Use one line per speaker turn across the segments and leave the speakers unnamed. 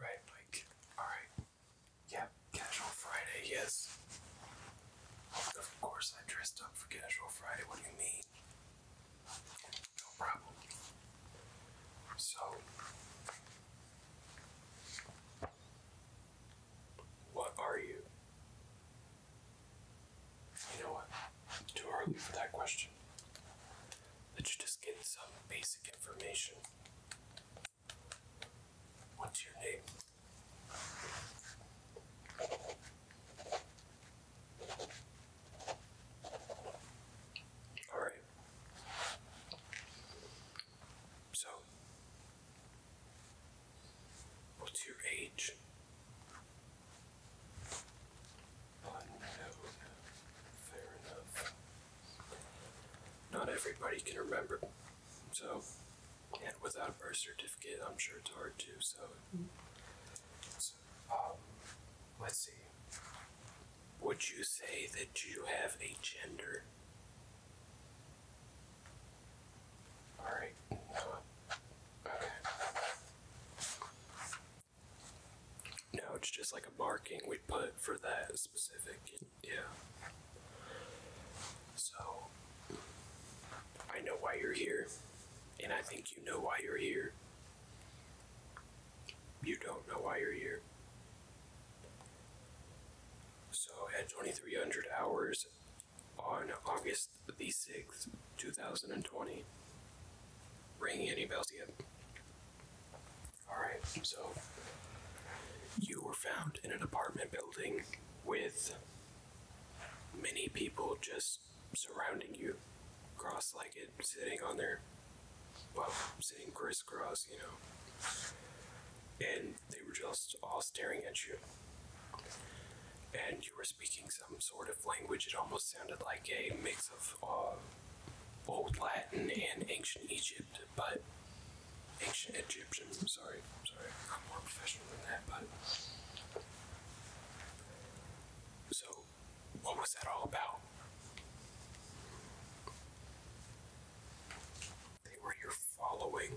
Right, Mike. Alright. Yeah, Casual Friday, yes. Of course I dressed up for Casual Friday, what do you mean? No problem. So what are you? You know what? Too early for that question. Let's just get some basic information What's your name? All right. So, what's your age? Oh, Fair enough not everybody can remember. So, and without a birth certificate, I'm sure it's hard too. So, um, let's see. Would you say that you have a gender? All right. Okay. No, it's just like a marking we put for that specific. Yeah. So, I know why you're here, and I think you know why you're here. You don't know why you're here. So, at 2300 hours on August the 6th, 2020, ringing any bells yet? All right, so you were found in an apartment building with many people just surrounding you, cross legged, sitting on their, well, sitting crisscross, you know. And they were just all staring at you. And you were speaking some sort of language. It almost sounded like a mix of uh, Old Latin and Ancient Egypt but ancient Egyptian. Sorry, sorry, I'm more professional than that. But so, what was that all about? They were your following.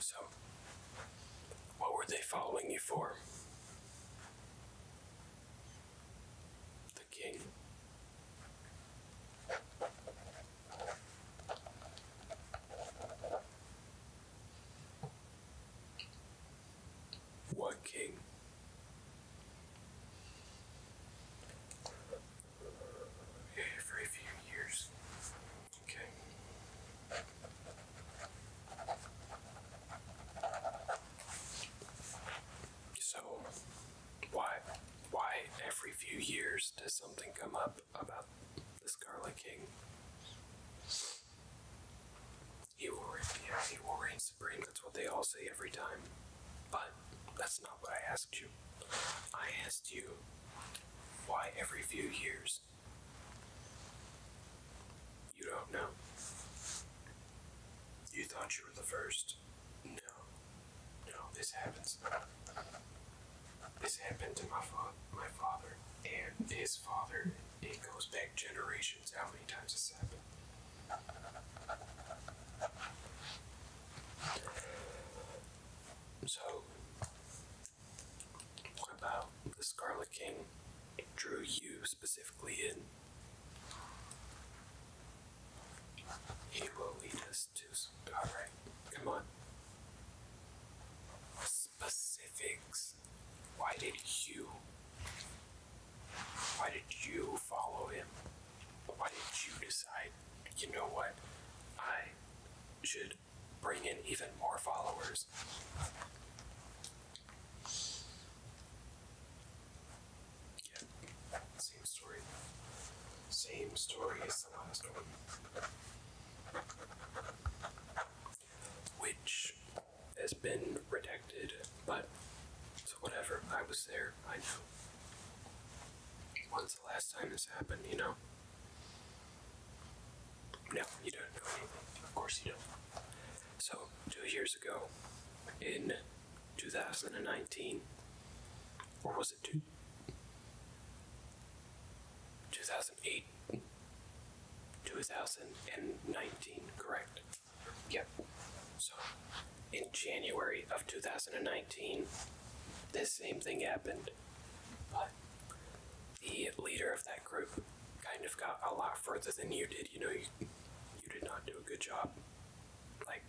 So, what were they following you for? the king. What king? Every few years. Okay. So, why, why every few years does something come up about the Scarlet King? He will reign, he will reign supreme. That's what they all say every time. But that's not what I asked you. I asked you why every few years you don't know. You thought you were the first. No. No, this happens. This happened to my, fa- my father and his father. It goes back generations how many times this happened. So, about the Scarlet King it drew you specifically in. He will lead us to. Alright, come on. Specifics. Why did you? Why did you follow him? Why did you decide, you know what? I should bring in even more followers. Same story. Same story as the last one. Which has been redacted, but so whatever. I was there. I know. When's the last time this happened, you know? No, you don't know anything. Of course you don't. So, two years ago, in 2019, or was it two? 2008, 2019, correct. Yep. So, in January of 2019, this same thing happened. But the leader of that group kind of got a lot further than you did. You know, you, you did not do a good job. Like,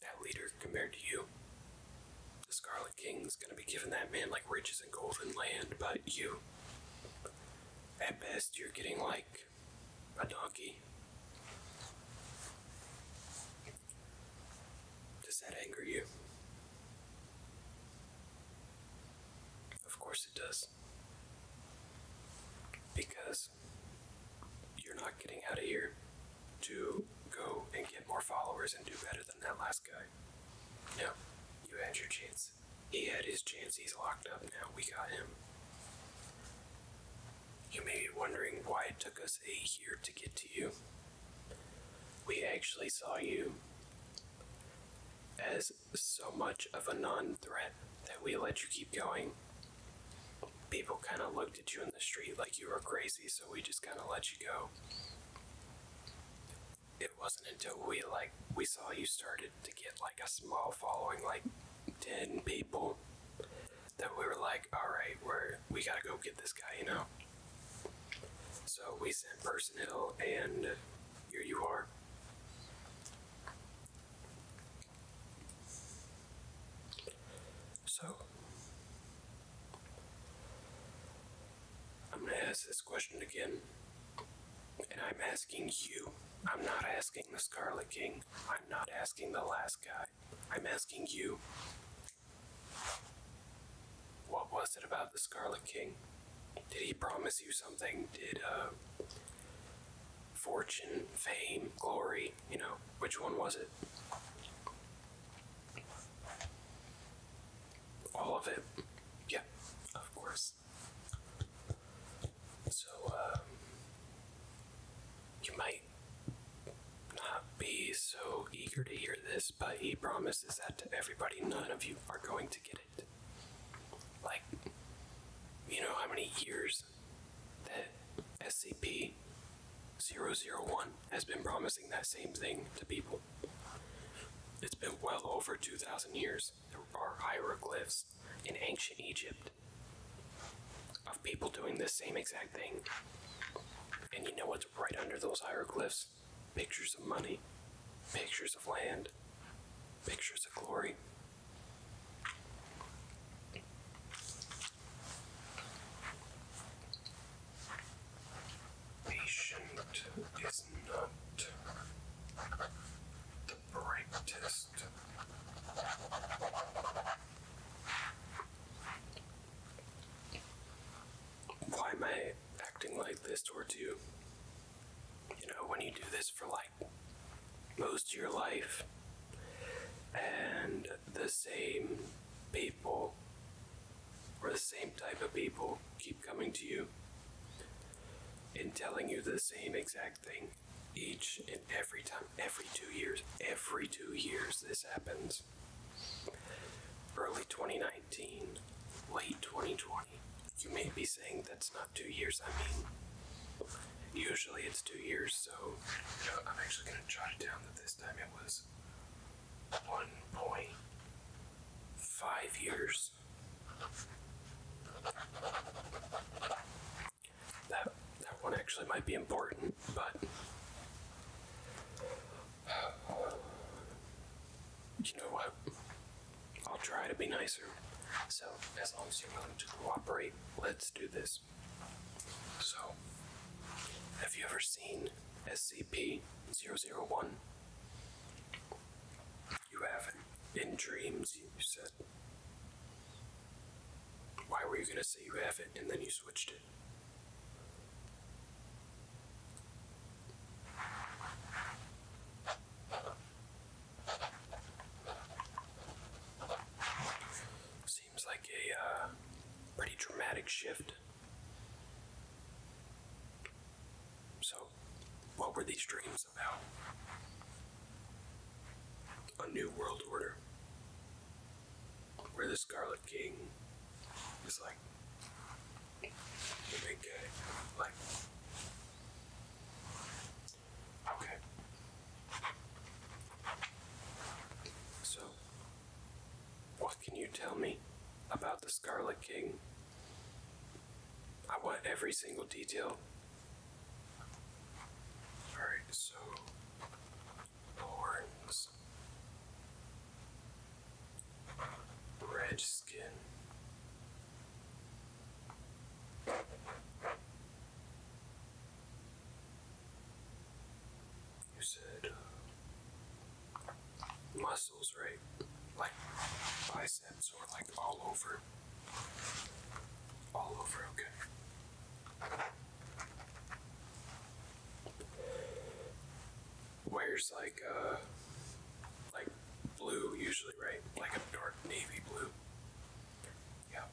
that leader compared to you. The Scarlet King's gonna be giving that man like riches and golden land, but you, at best, you're getting like a donkey. Does that anger you? Of course it does. Because you're not getting out of here to go and get more followers and do better than that last guy. No, you had your chance. He had his chance, he's locked up now, we got him. You may be wondering why it took us a year to get to you. We actually saw you as so much of a non threat that we let you keep going. People kind of looked at you in the street like you were crazy, so we just kind of let you go. It wasn't until we like we saw you started to get like a small following, like ten people, that we were like, all right, we're we gotta go get this guy, you know. So we sent personnel, and here you are. So, I'm going to ask this question again. And I'm asking you. I'm not asking the Scarlet King. I'm not asking the last guy. I'm asking you. What was it about the Scarlet King? Did he promise you something? Did, uh, fortune, fame, glory, you know, which one was it? All of it. Yeah, of course. So, um, you might not be so eager to hear this, but he promises that to everybody, none of you are going to get it. Like, you know how many years that SCP 001 has been promising that same thing to people? It's been well over 2,000 years. There are hieroglyphs in ancient Egypt of people doing the same exact thing. And you know what's right under those hieroglyphs? Pictures of money, pictures of land, pictures of glory, Patient is not the brightest. Why am I acting like this towards you? You know, when you do this for like most of your life, and the same people or the same type of people keep coming to you and telling you the same exact thing each and every time, every two years, every two years this happens. Early 2019, late 2020, you may be saying that's not two years. I mean, usually it's two years, so I'm actually going to jot it down that this time it was 1.5 years. That, that one actually might be important, but. You know what? I'll try to be nicer. So, as long as you're willing to cooperate, let's do this. So, have you ever seen SCP 001? You haven't. In dreams, you said. Why were you going to say you have it and then you switched it? Seems like a uh, pretty dramatic shift. So, what were these dreams about? A new world order. Where the Scarlet King is like the big guy. Like, Okay. So, what can you tell me about the Scarlet King? I want every single detail. Alright, so horns, red skin, you said muscles, right? Like biceps or like all over? All over, okay. Where's like, uh, like blue usually, right? Like a dark navy blue. Yeah.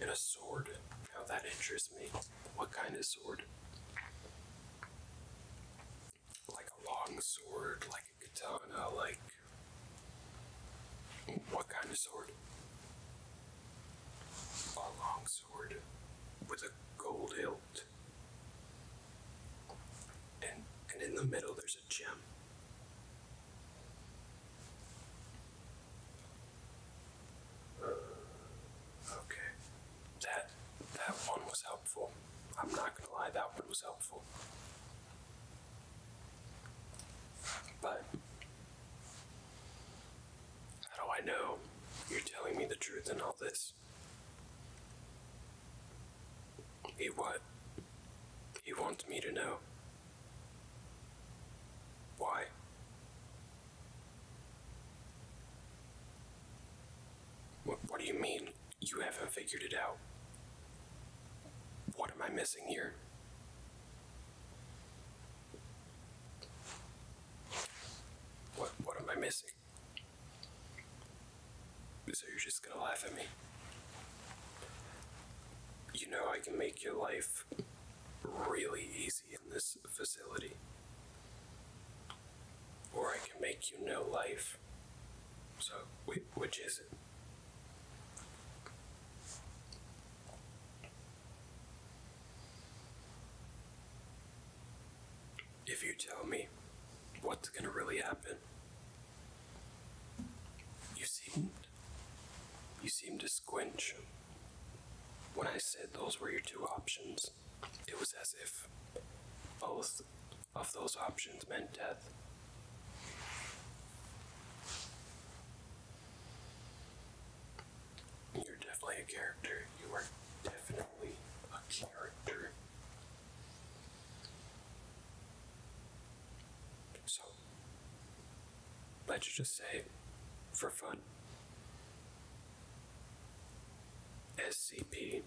And a sword. Now oh, that interests me. What kind of sword? Like a long sword, like a katana, like. What kind of sword? A long sword with a gold hilt. And, and in the middle, there's a gem. Okay, that that one was helpful. I'm not gonna lie, that one was helpful. But how do I know you're telling me the truth in all this? He what? He wants me to know. Why? What, what do you mean you haven't figured it out? What am I missing here? What, what am I missing? So you're just gonna laugh at me? You know I can make your life really easy in this facility. Or I can make you no life. So, wait, which is it? If you tell me what's gonna really happen, you seemed. You seemed to squinch. When I said those were your two options, it was as if both of those options meant death. You're definitely a character. You are definitely a character. So, let's just say, for fun, SCP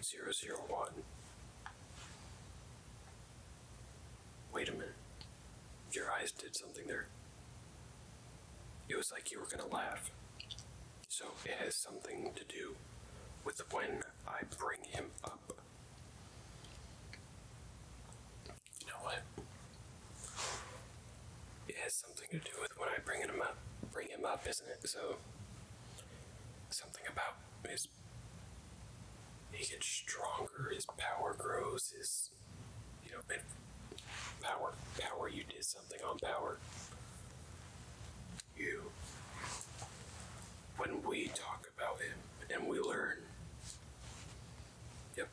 001. Wait a minute. Your eyes did something there. It was like you were gonna laugh. So it has something to do with when I bring him up. You know what? It has something to do with when I bring him up, bring him up, isn't it? So something about his he gets stronger, his power grows, his you know power power you did something on power. You when we talk about him and we learn. Yep.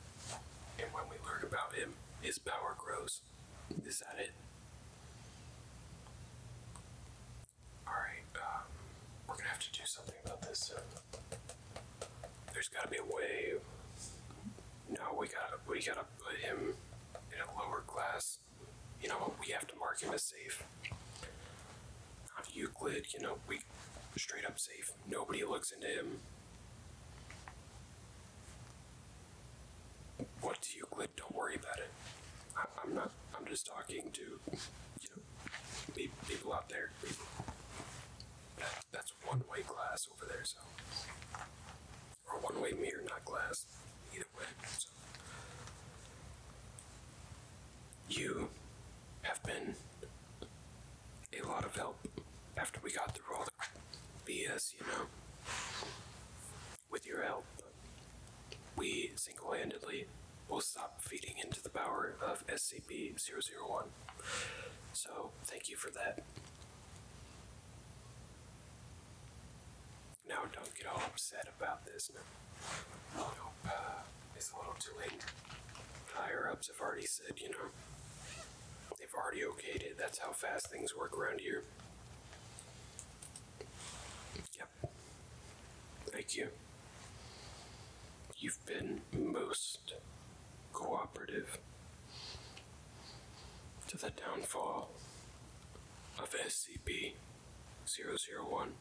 And when we learn about him, his power grows. Is that it? Alright, um, we're gonna have to do something about this There's gotta be a way. No, we gotta we gotta put him in a lower class. You know, we have to mark him as safe. Euclid, you know, we straight up safe. Nobody looks into him. What's Euclid? Don't worry about it. I, am not. I'm just talking to, you know, people out there. People. that's one-way glass over there, so or one-way mirror, not glass. Either way. So. You have been a lot of help after we got through all the BS, you know. With your help, we single handedly will stop feeding into the power of SCP 001. So, thank you for that. Now, don't get all upset about this it's a little too late. higher ups have already said, you know, they've already okayed it. That's how fast things work around here. Yep. Thank you. You've been most cooperative to the downfall of SCP 001.